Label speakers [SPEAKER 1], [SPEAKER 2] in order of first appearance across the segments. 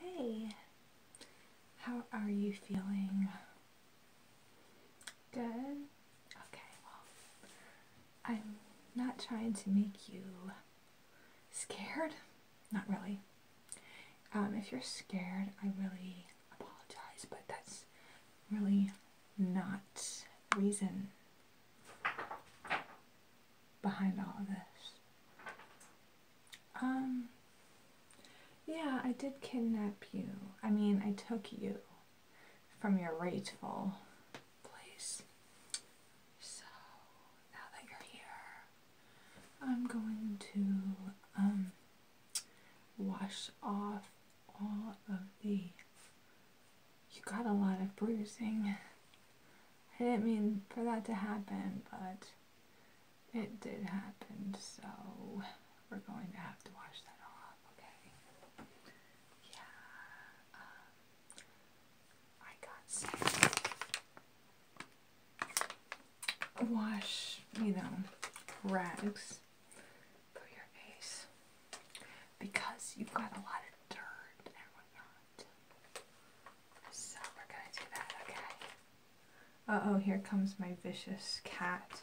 [SPEAKER 1] Hey, how are you feeling? Good? Okay, well, I'm not trying to make you scared. Not really. Um, if you're scared, I really apologize, but that's really not reason behind all of this. Um, yeah, I did kidnap you. I mean, I took you from your rageful place. So, now that you're here, I'm going to, um, wash off all of the you got a lot of bruising. I didn't mean for that to happen, but it did happen, so we're going to have to wash that off, okay? Yeah, um, I got some wash, you know, rags for your face because you've got a lot of dirt and whatnot. So we're gonna do that, okay? Uh oh, here comes my vicious cat.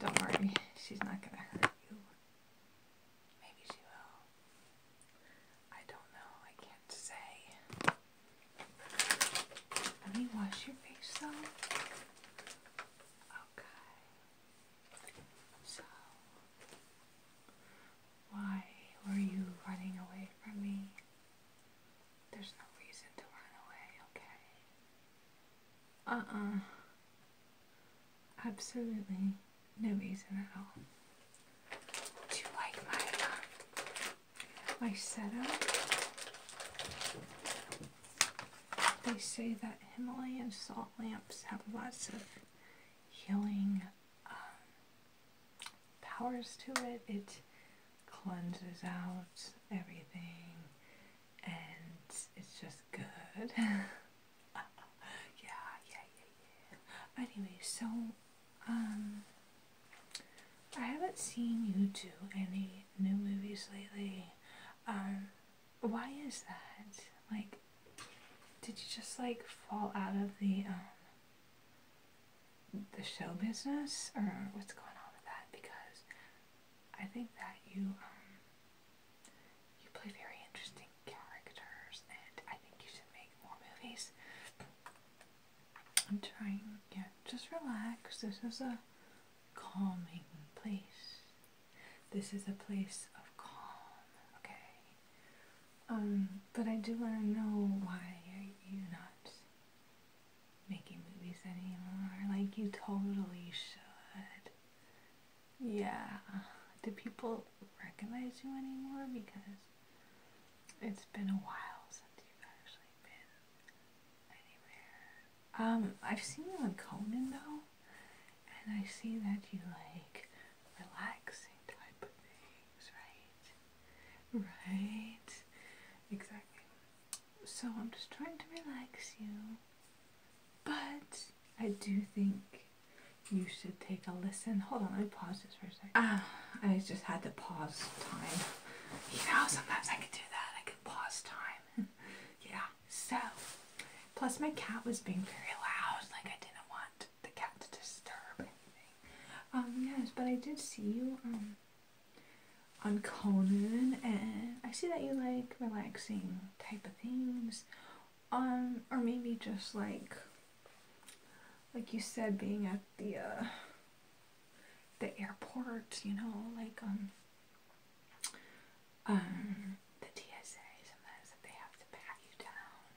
[SPEAKER 1] Don't worry, she's not gonna hurt you. Maybe she will. I don't know, I can't say. Let me wash your face though. Okay. So why were you running away from me? There's no reason to run away, okay? Uh-uh. Absolutely no reason at all. Do you like my, uh, my setup? They say that Himalayan salt lamps have lots of healing um, powers to it. It cleanses out everything and it's just good. yeah, yeah, yeah, yeah. Anyway, so, um, I haven't seen you do any new movies lately. Um, why is that? Like, did you just like fall out of the um, the show business or what's going on with that? Because I think that you um, you play very interesting characters and I think you should make more movies. I'm trying yeah, just relax. This is a calming place. This is a place of calm, okay? Um, but I do want to know why are you not making movies anymore. Like, you totally should. Yeah. Do people recognize you anymore? Because it's been a while since you've actually been anywhere. Um, I've seen you in Conan, though and I see that you like relaxing type of things, right? Right? Exactly. So I'm just trying to relax you, but I do think you should take a listen. Hold on, let me pause this for a second. Ah, I just had to pause time. You know, sometimes I can do that. I can pause time. yeah. So, plus my cat was being very loud, like I didn't want the cat to disturb anything. Um, yes, but I did see you um, on Conan, and I see that you like relaxing type of things, um, or maybe just like, like you said, being at the uh, the airport, you know, like um um, the TSA sometimes they have to pat you down.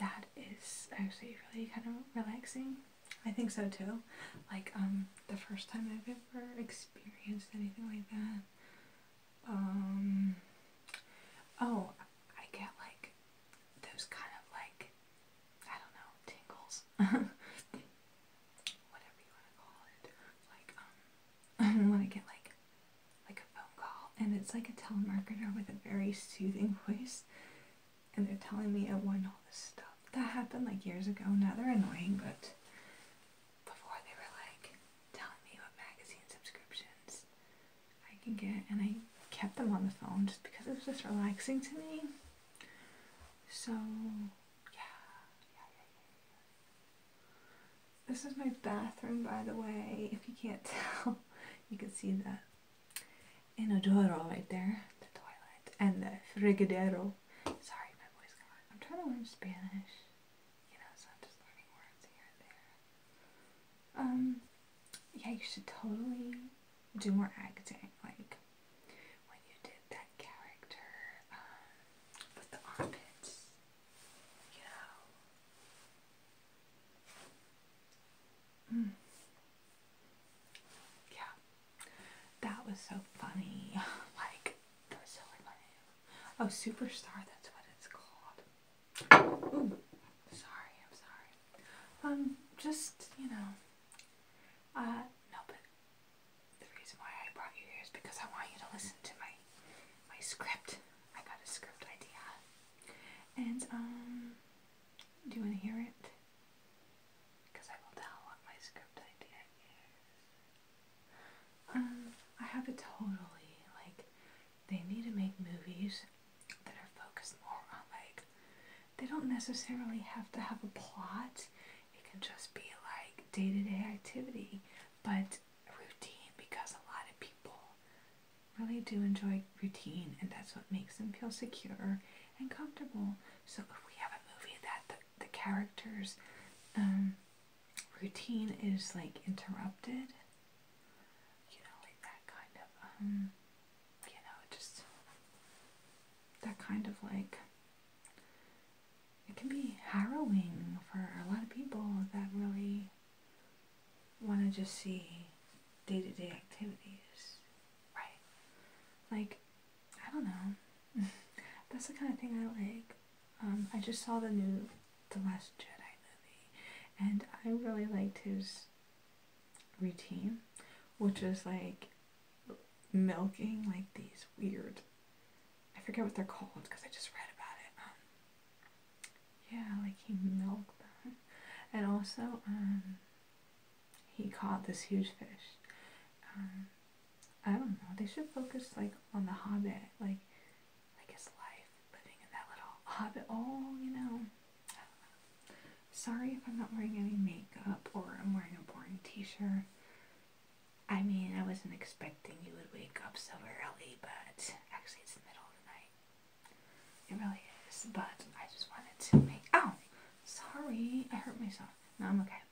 [SPEAKER 1] That is actually really kind of relaxing. I think so too. Like um, the first time I've ever experienced anything like that. Um, oh, I get like those kind of like I don't know tingles. Whatever you want to call it, like um, and when I get like like a phone call and it's like a telemarketer with a very soothing voice and they're telling me I won all this stuff. That happened like years ago. Now they're annoying, but before they were like telling me what magazine subscriptions I can get and I kept them on the phone just because it was just relaxing to me. So yeah. This is my bathroom, by the way. If you can't tell, you can see the inodoro right there, the toilet, and the frigadero. Sorry, my voice got. I'm trying to learn Spanish. You know, so I'm just learning words here and there. Um, yeah, you should totally do more acting. Like, when you did that character um, with the armpits, you know. Mm. Yeah, that was so funny. like, that was so funny. Oh, Superstar, that's what it's called. Ooh, sorry, I'm sorry. Um, just, you know, uh, no, but the reason why I brought you here is because I want you to listen to my my script. I got a script idea. And um, do you wanna hear it? Because I will tell what my script idea is. Um, I have it totally like they need to make movies that are focused more on like they don't necessarily have to have a plot. It can just be like day to -day activity, but routine because a lot of people really do enjoy routine and that's what makes them feel secure and comfortable. So if we have a movie that the, characters um, routine is like interrupted, you know, like that kind of, um, you know, just that kind of like it can be harrowing for a lot of people that really want to just see day to day activities, right? Like, I don't know. That's the kind of thing I like. Um, I just saw the new The Last Jedi movie, and I really liked his routine, which was like milking like these weird I forget what they're called because I just read about it. Um, yeah, like he milked them. And also, um, he caught this huge fish. Um, I don't know. They should focus like on the Hobbit, like like his life living in that little Hobbit hole, oh, you know. Sorry if I'm not wearing any makeup or I'm wearing a boring t-shirt. I mean, I wasn't expecting you would wake up so early, but actually, it's the middle of the night. It really is, but I just wanted to make. Oh, sorry, I hurt myself. No, I'm okay.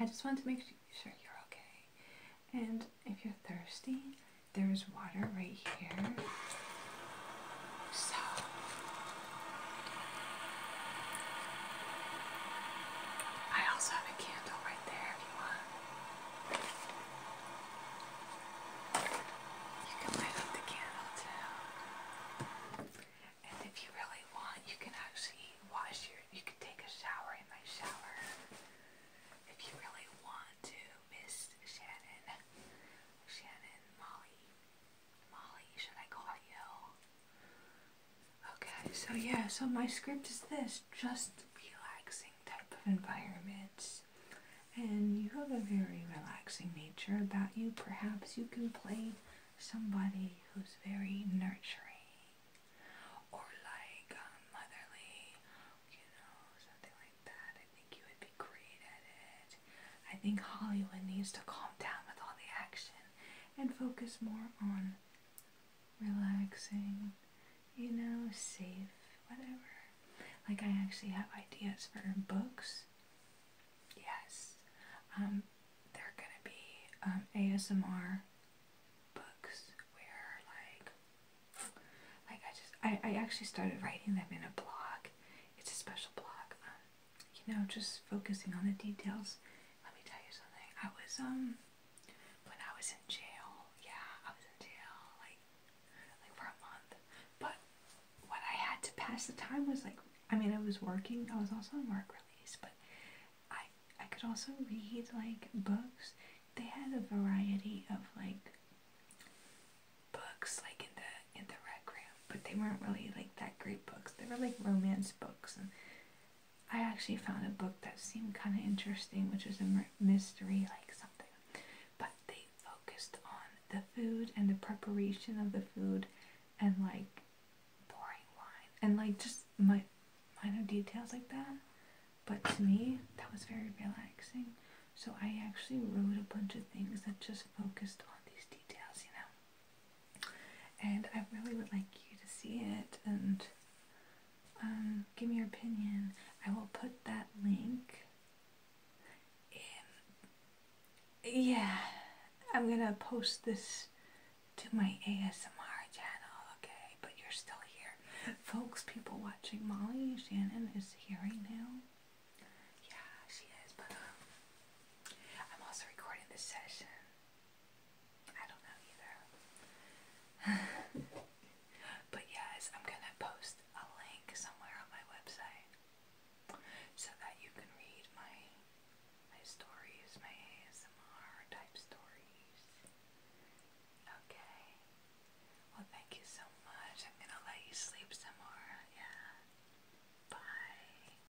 [SPEAKER 1] I just wanted to make sure you're okay. And if you're thirsty, there's water right here. So. I also have a candle right there if you want. You can light up the candle too. And if you really want, you can actually wash your, you can take a shower in my shower. If you really want to, Miss Shannon, Shannon, Molly, Molly, should I call you? Okay, so yeah, so my script is this just relaxing type of environments. And you have a very relaxing nature about you. Perhaps you can play somebody who's very nurturing or like um, motherly, you know, something like that. I think you would be great at it. I think Hollywood needs to calm down with all the action and focus more on relaxing, you know, safe, whatever. Like, I actually have ideas for books. Yes. Um, they're gonna be um, ASMR books where, like, like I just, I, I actually started writing them in a blog. It's a special blog. Um, you know, just focusing on the details let me tell you something. I was um when I was in jail, yeah, I was in jail like like for a month. But what I had to pass the time was like I mean I was working, I was also on work release, but I I could also read like books. They had a variety of like books like in the in the rec room, but they weren't really like that great books. They were like romance books and I actually found a book that seemed kind of interesting, which was a mystery, like something. But they focused on the food and the preparation of the food, and like pouring wine, and like just my minor details like that. But to me, that was very relaxing. So I actually wrote a bunch of things that just focused on these details, you know and I really would like you to see it and um, give me your opinion. I will put that link in. Yeah, I'm gonna post this to my ASMR channel, okay? But you're still here. Folks, people watching, Molly Shannon is here right now. Yeah, she is, but um, I'm also recording this session I don't know either. but yes, I'm gonna post a link somewhere on my website so that you can read my my stories, my ASMR type stories. Okay. Well, thank you so much. I'm gonna let you sleep some more. Yeah. Bye.